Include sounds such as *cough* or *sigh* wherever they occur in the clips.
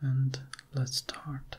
and let's start.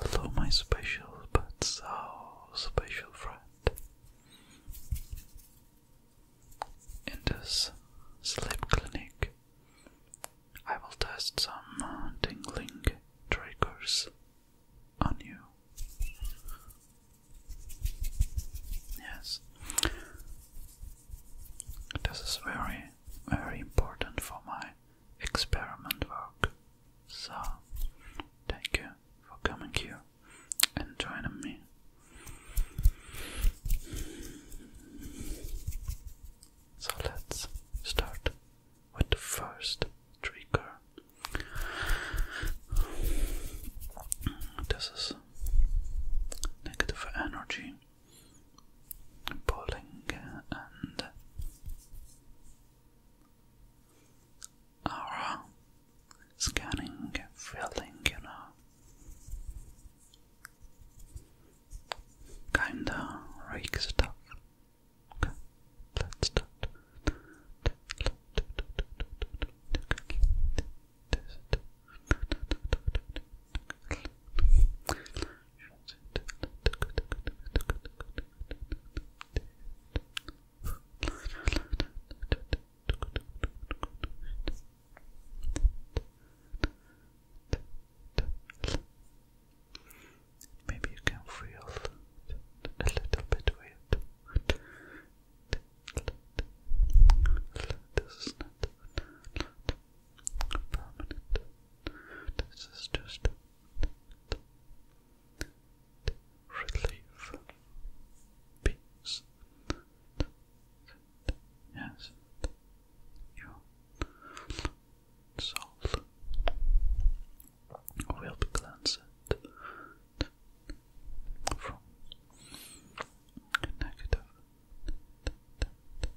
Hello, my special but so special friend. In this sleep clinic, I will test some tingling triggers on you. Yes, this is very very important for my experiment work. So, thank you for coming here and joining me. So, let's start with the first trigger. This is negative energy Pulling and Aura scanning, filling, you know, kinda rake stuff. let's start. Maybe you can feel a little bit weird. This is not permanent. This is just relief, peace. Yes, your soul will be cleansed from negative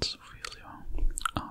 Let's feel your aura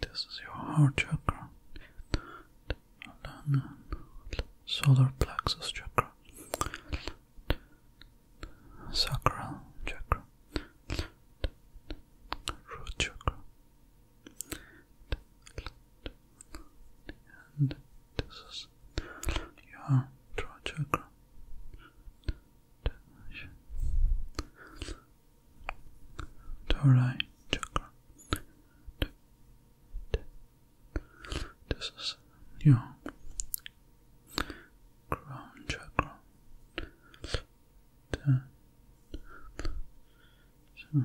This is your heart chakra, solar plexus chakra, sacral chakra, root chakra and this is your throat chakra. Third chakra. This is your crown chakra. so,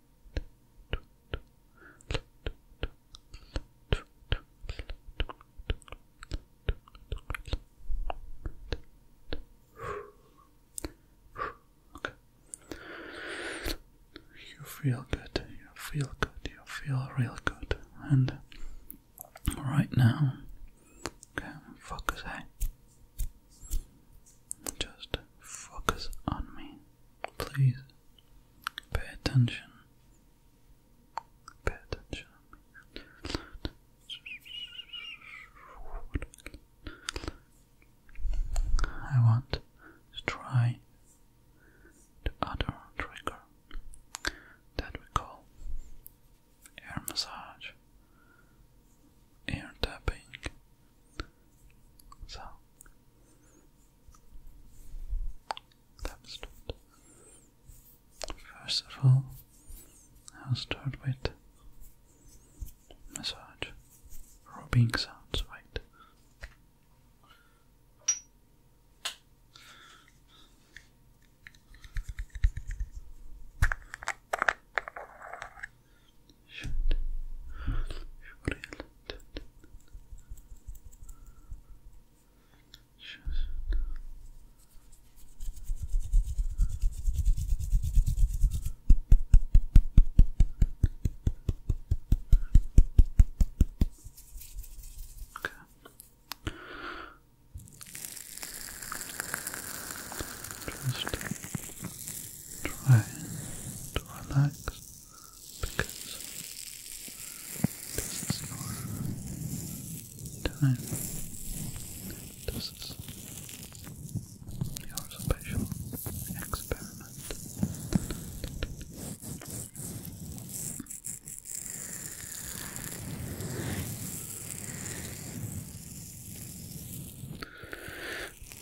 You feel good, you feel good, you feel real good. And right now, okay, focus, Just focus on me, please. Pay attention. Pay attention. I want to try the other trigger that we call air massage, air tapping, so let's start. First of all, I'll start with massage, rubbing sounds, right? Should, should really Okay. Just try to relax because this is your time. This is your special experiment.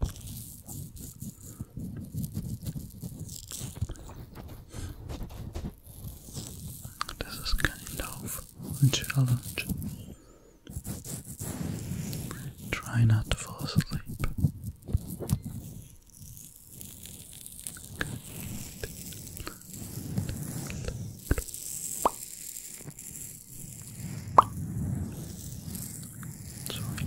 This is kind of a challenge. Try not to fall asleep. Sorry.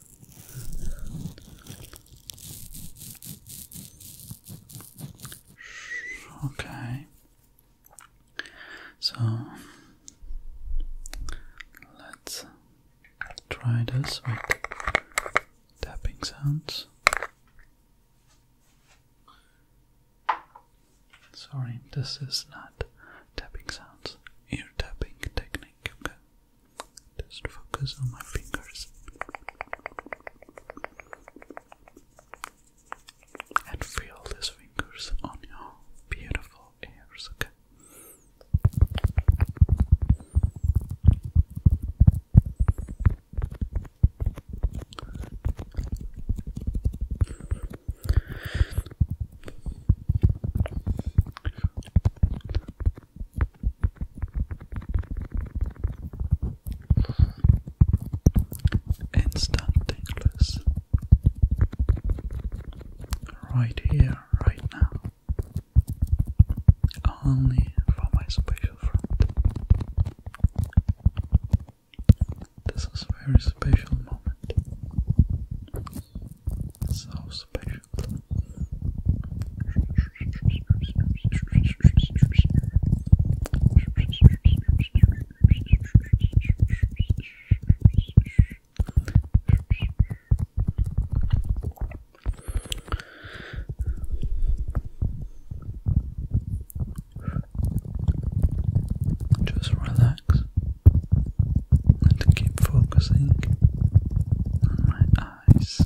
Okay. So let's try this with tapping sounds. Sorry, this is not tapping sounds, ear tapping technique. Just focus on my fingers and feel these fingers on your beautiful ears, okay? Instant right here, right now, only for my special friend. This is a very special moment, so special. Just relax and keep focusing on my eyes.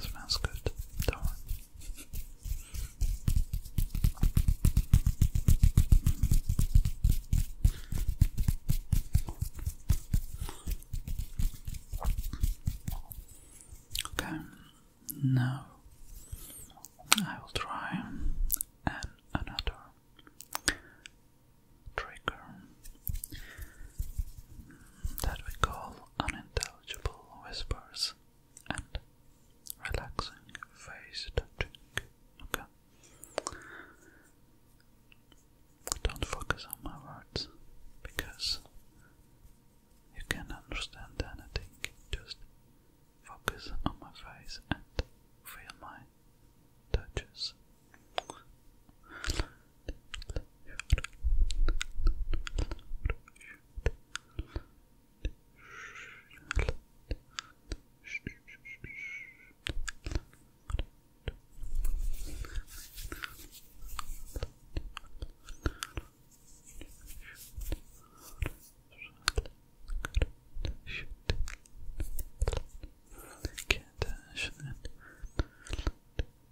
Smells good, Okay, now I will try another trigger that we call unintelligible whispers and relaxing face touching. Okay. Don't focus on my words because you can not understand anything. Just focus on my face and feel my touches. Can't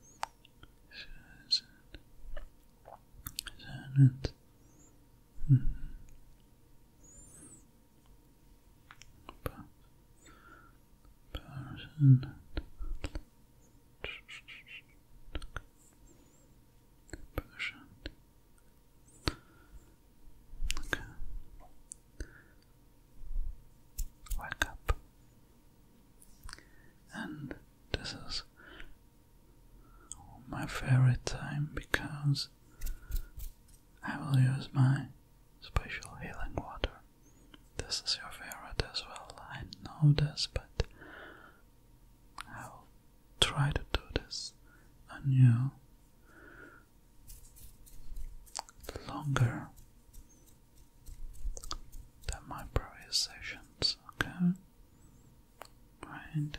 Is that Hmm. But person person okay Wake up. And this is my favorite time because I will use my special healing water. This is your favorite as well. I know this, but I will try to do this on you longer than my previous sessions, okay? And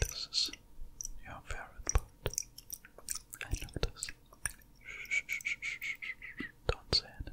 This is your favorite part. I know this. Don't say anything.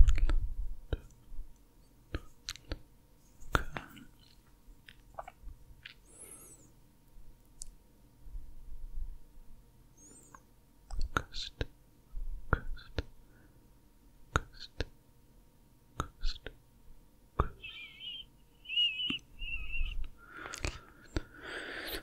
Okay. Coast, coast, coast, coast, coast.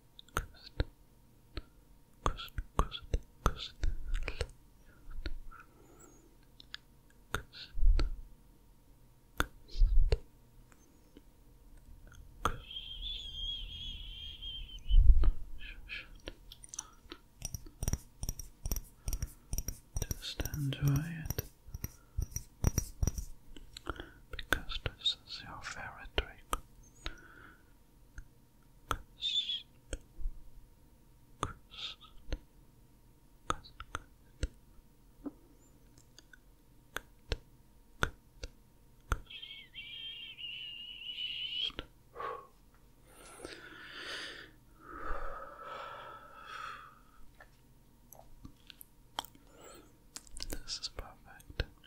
just enjoy it because this is your favorite trick this is perfect.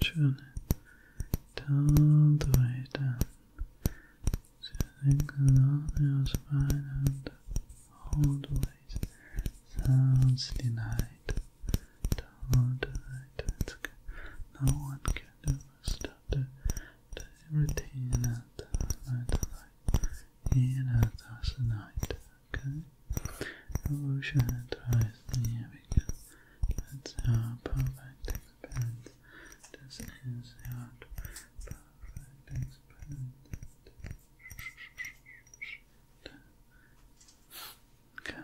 Schön. Don't wait Sitting alone your spine and always sounds denied. No one can ever stop the, routine at night in at us night, okay? Evolution and tries the vegan. That's our perfect experiment. This is our perfect experiment. Okay.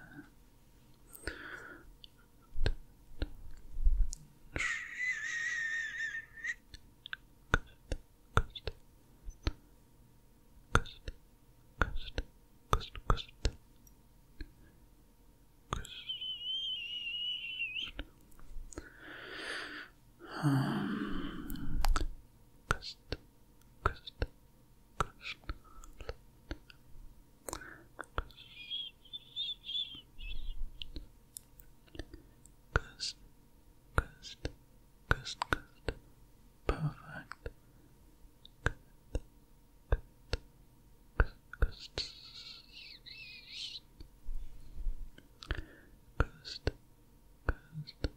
Um, cust, cust, Krishna, Krishna, Krishna, Krishna, Krishna, perfect. Good, good,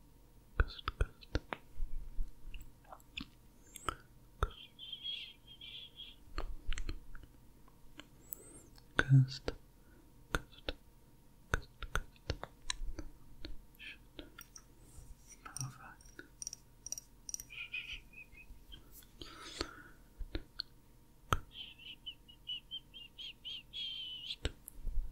Coast, coast. Coast, coast, coast, coast. Should Coast.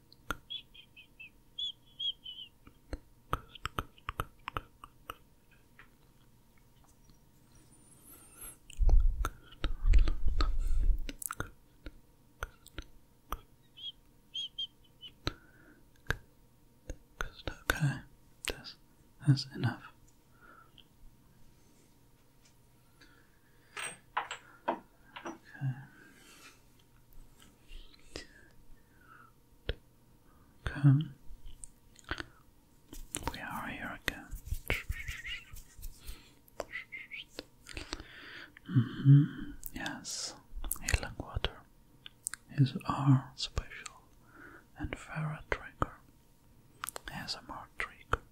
okay, that's, that's enough. Okay. Come, We are here again. Mm -hmm. Yes, water is our special and favorite trigger. As a more trigger.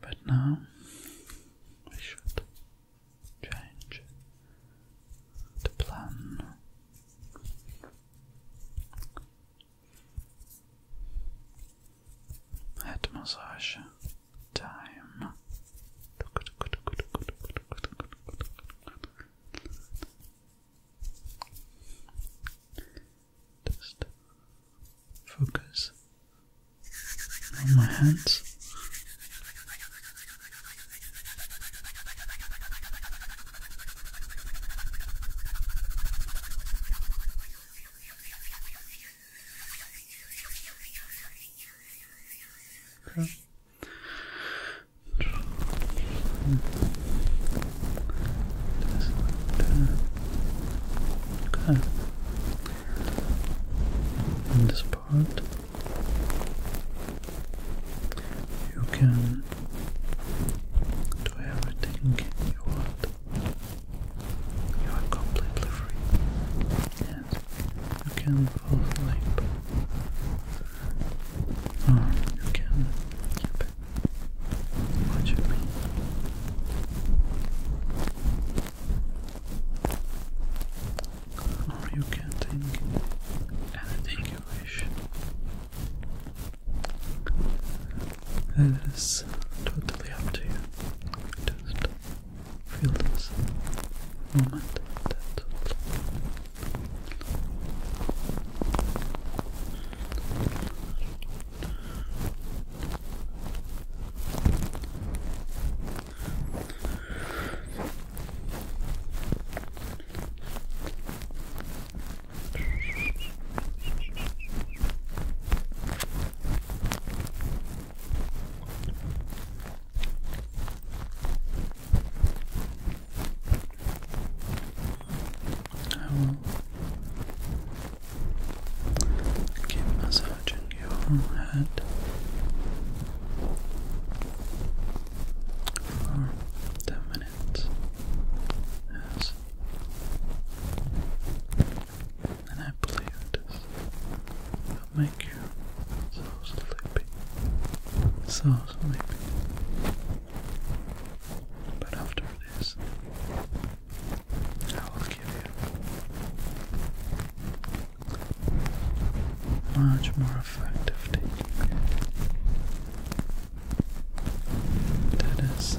But now we should change the plan. Head massage time. Just focus on my hands. Okay. Okay. In this part. You can do everything you want. You are completely free. Yes, you can fall asleep. Or you can keep watching me. Or oh, you can think anything you wish. It is totally up to you. Just feel this moment. I will keep massaging your head for 10 minutes yes. and I believe this will make you so sleepy so sleepy but after this I will give you much more effective taking care. That is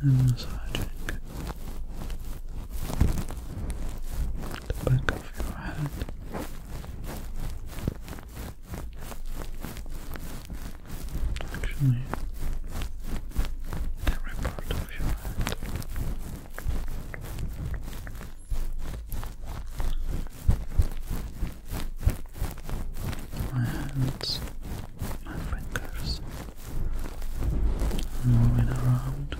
And massaging the back of your head. Actually, every My hands, my fingers, moving around.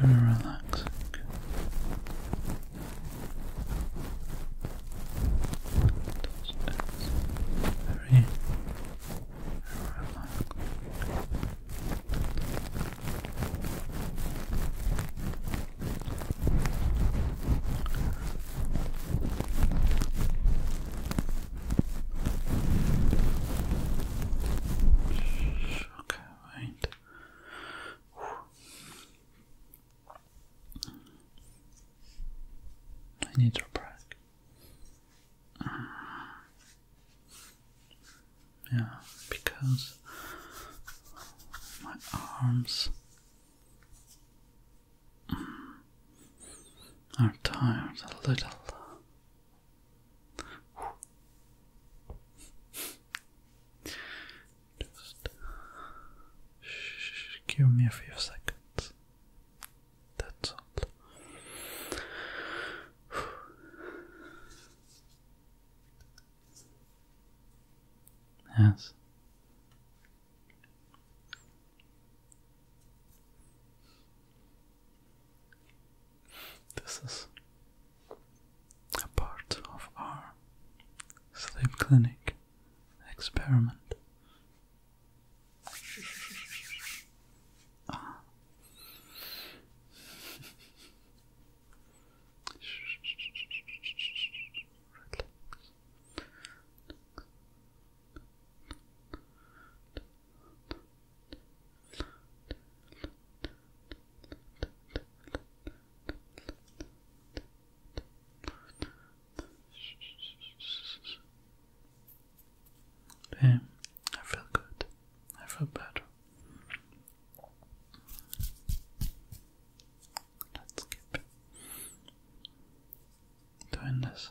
Very relaxing. Very relaxing. Okay, right. I need to break. Yeah, because my arms I'm tired a little. Just give me a few seconds. That's all. Yes. This is a part of our sleep clinic experiment. Ah. Relax. *laughs* Damn, I feel good. I feel better. Let's keep doing this.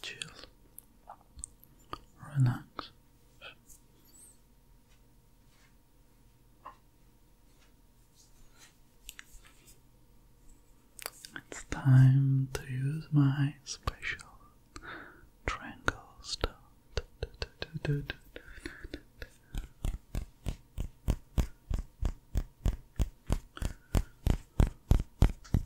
chill, relax. It's time to use my special triangle stone.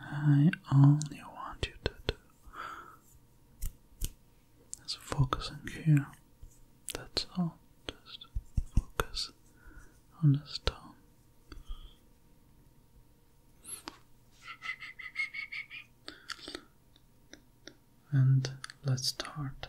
I only want you to do is focusing here. That's all. Just focus on the stone. And let's start.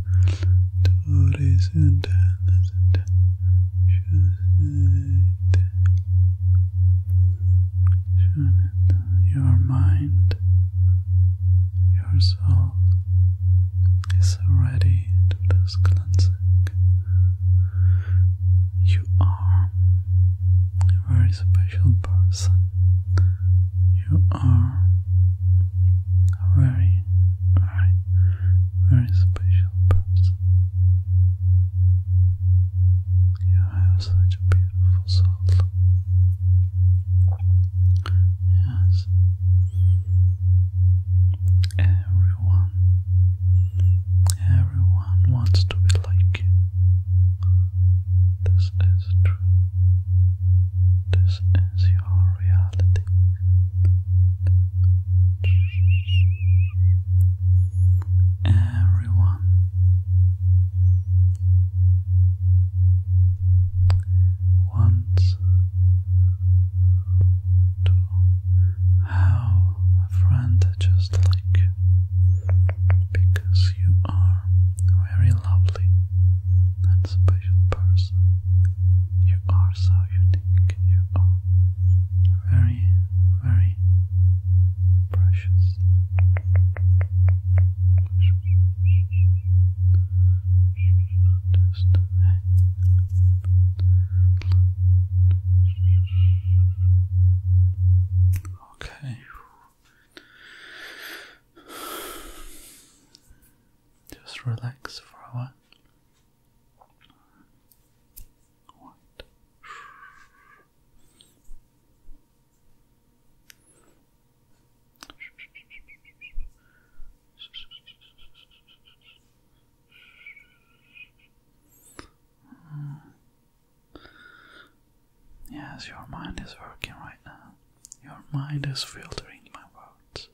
Torres and your mind, your soul is ready to this cleansing. You are a very special person. You are very, very very special person. You have such a beautiful soul. Yes. Everyone, everyone wants to be like you. This is true. This is our reality. Everyone wants to have a friend just like you because you are a very lovely and special person you are so unique. You are very, very precious. Okay. Just relax for a while. Mm. Yes, your mind is working right now. Your mind is filtering my words this.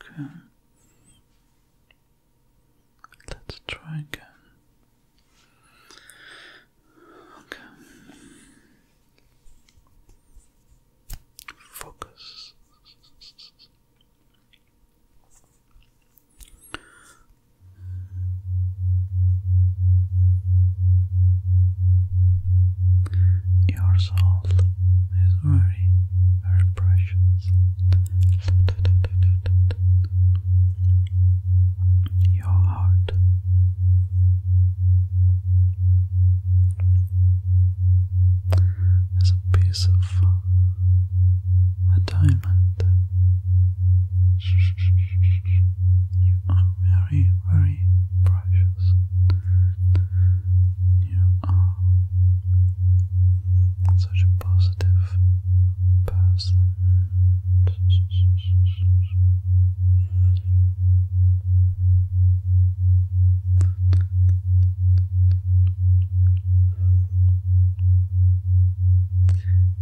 Okay. Let's try again. Okay. Focus. Your soul is very, very precious your heart. As a piece of a diamond, you are very, very precious. You are such a positive positive person.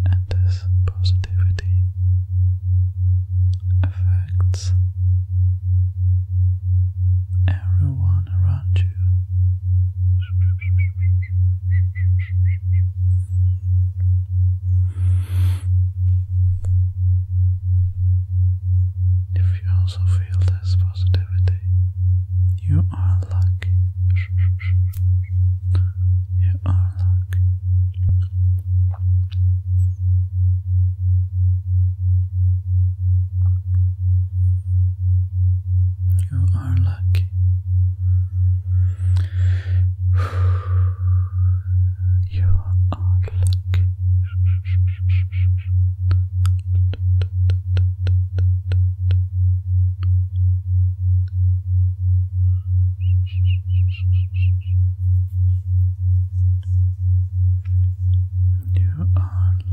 And this positivity affects everyone around you. If you also feel this positivity, you are lucky. You are lucky. You are lucky. You are lucky. You are lucky.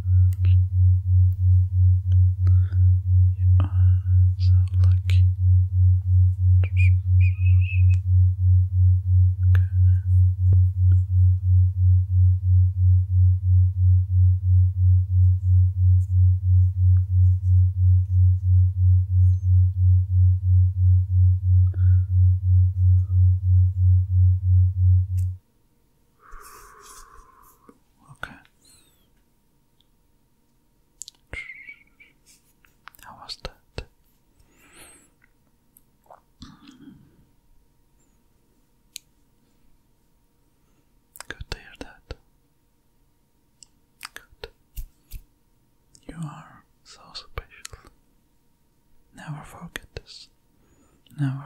You are so lucky. Okay. Good. Okay. How was that? Good to hear that. Good. You are so special. Never forget this. Never.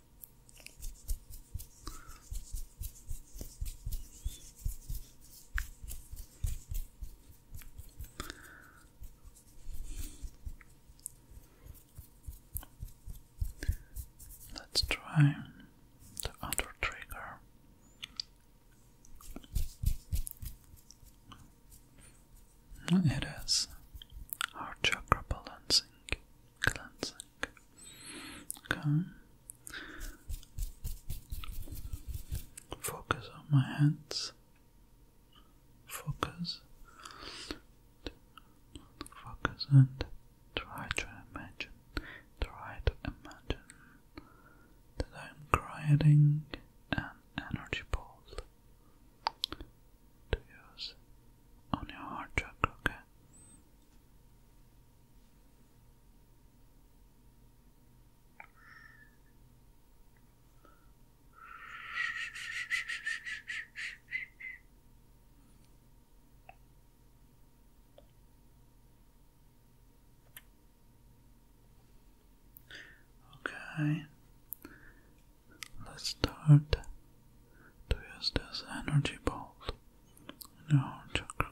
Let's try the other trigger. It is our chakra balancing cleansing back. Focus on my hands. Focus. Focus and try to imagine. Try to imagine that I'm creating an energy ball to use on your heart chakra, okay? Okay, let's start to use this energy bolt in your chakra,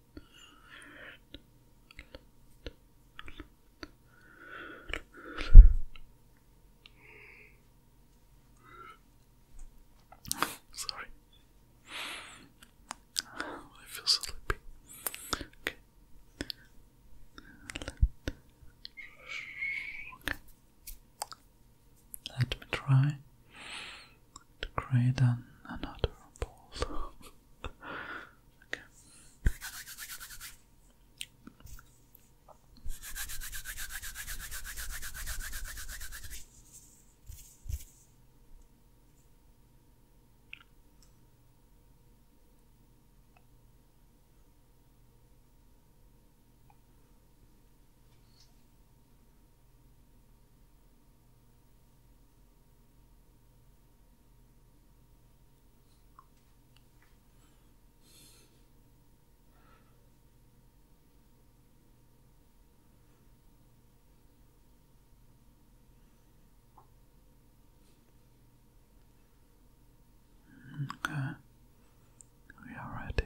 Sorry. I feel sleepy. Okay. Let me try to create another ball. okay. Okay, we are ready.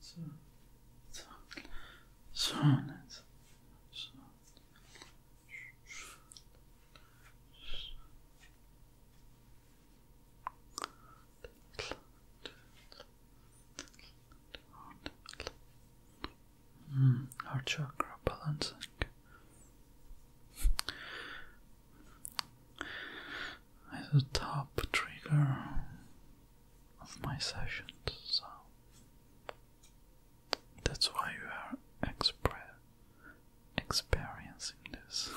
so, so, so, so, so. Mm, our chakra balancing. As a top trigger, of my sessions, so that's why you are expre experiencing this.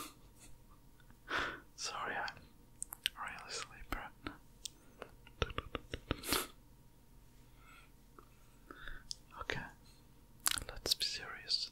*laughs* Sorry, I'm really sleepy right now. Okay, let's be serious.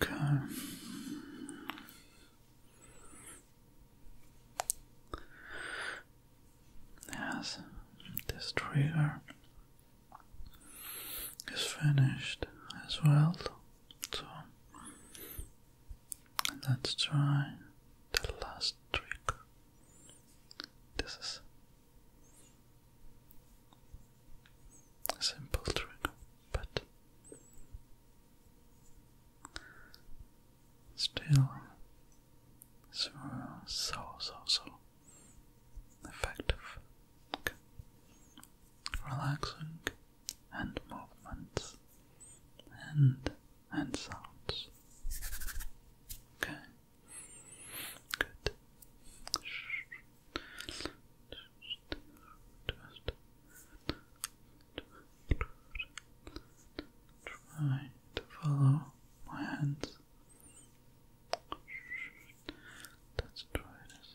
Okay. Yes, this trigger is finished as well, so and let's try the last trick. This is a simple trick, but still so so so, so effective. Okay. Relaxing and movements and and sounds. Okay. Good. try to follow my hands. Let's try this.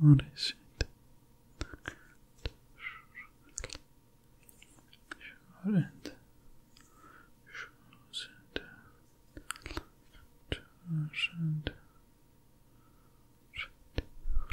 What is it? Shouldn't, shouldn't, doesn't, should, should,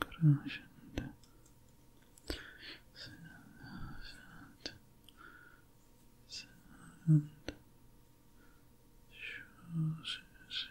Crushed. Sound. Sound. Shoes. Shoes.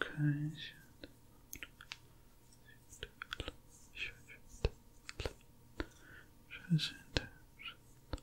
Okay. Should,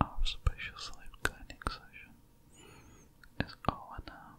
Our special sleep cleaning session is over now.